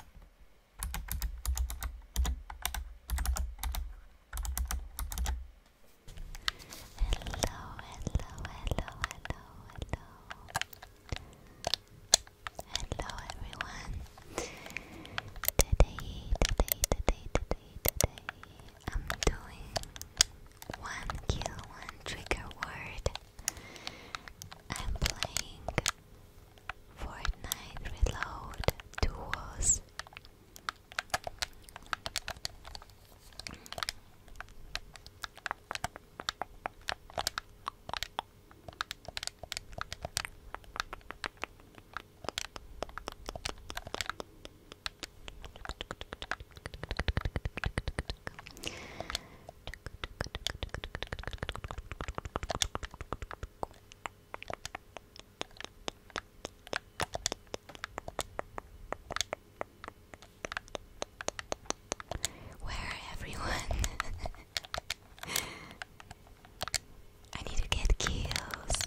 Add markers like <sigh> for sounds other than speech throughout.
hello, hello, hello, hello. Hello everyone. Today, today, today, today, today, I'm doing one kill, one trigger word. I'm playing Fortnite Reload Duos. Where everyone? <laughs> I need to get kills.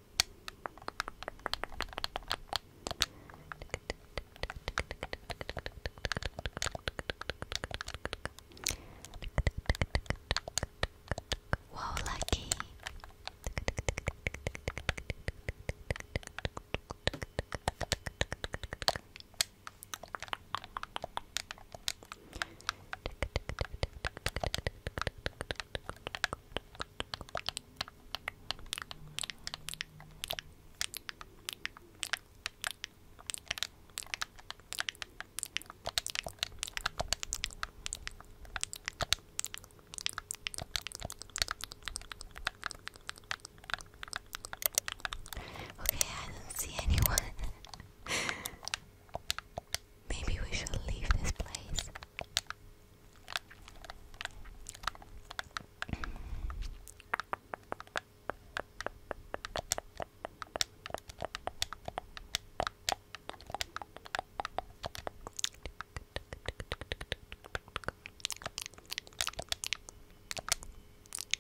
Whoa, lucky. Okay, I didn't see anyone. <laughs> Maybe we should leave this place.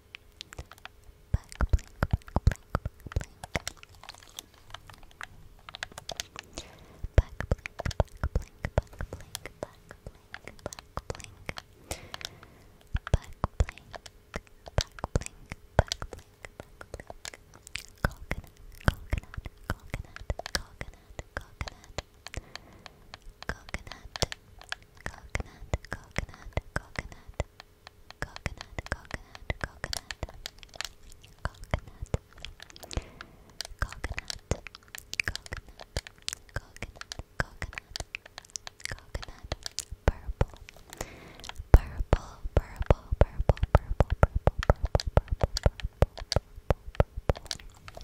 Blink, blink, blink, blink, blink, blink. Back blink, back blink, back blink, back blink, back blink. Back blink, back blink, back blink, back blink. Coconut, coconut, coconut, coconut, coconut. Coconut, Coconut, coconut, coconut, coconut, coconut, coconut, coconut, coconut, coconut, coconut, coconut, coconut, purple, purple, purple, purple, purple, purple, purple, purple, purple, purple, purple.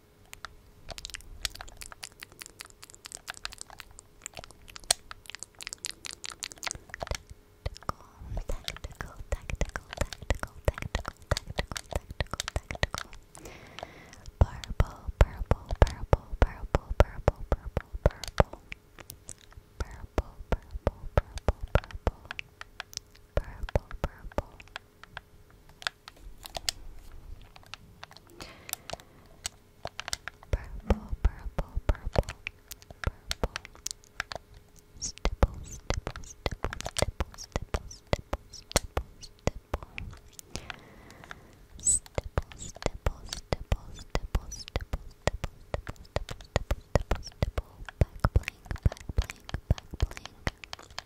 Tactical, tactical, tactical, tactical, tactical, tactical, tactical. Purple, purple, purple, purple, purple, purple, purple. Purple, purple, purple, purple. Purple, purple. Purple, purple, purple, purple. Stipple, stipple, stipple, stipple, stipple, stipple, stipple, stipple. Stipple, stipple, stipple, stipple, stipple, stipple, stipple, stipple, stipple, stipple, stipple. Back blank, back blank, back blank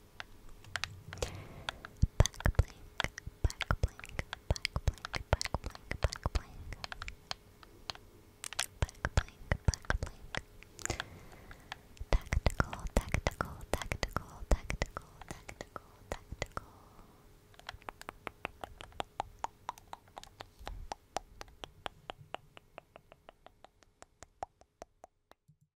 Back blink, back blink, back blink, back blink, back blink. Back blink, back blink. Tactical, tactical, tactical, tactical, tactical, tactical.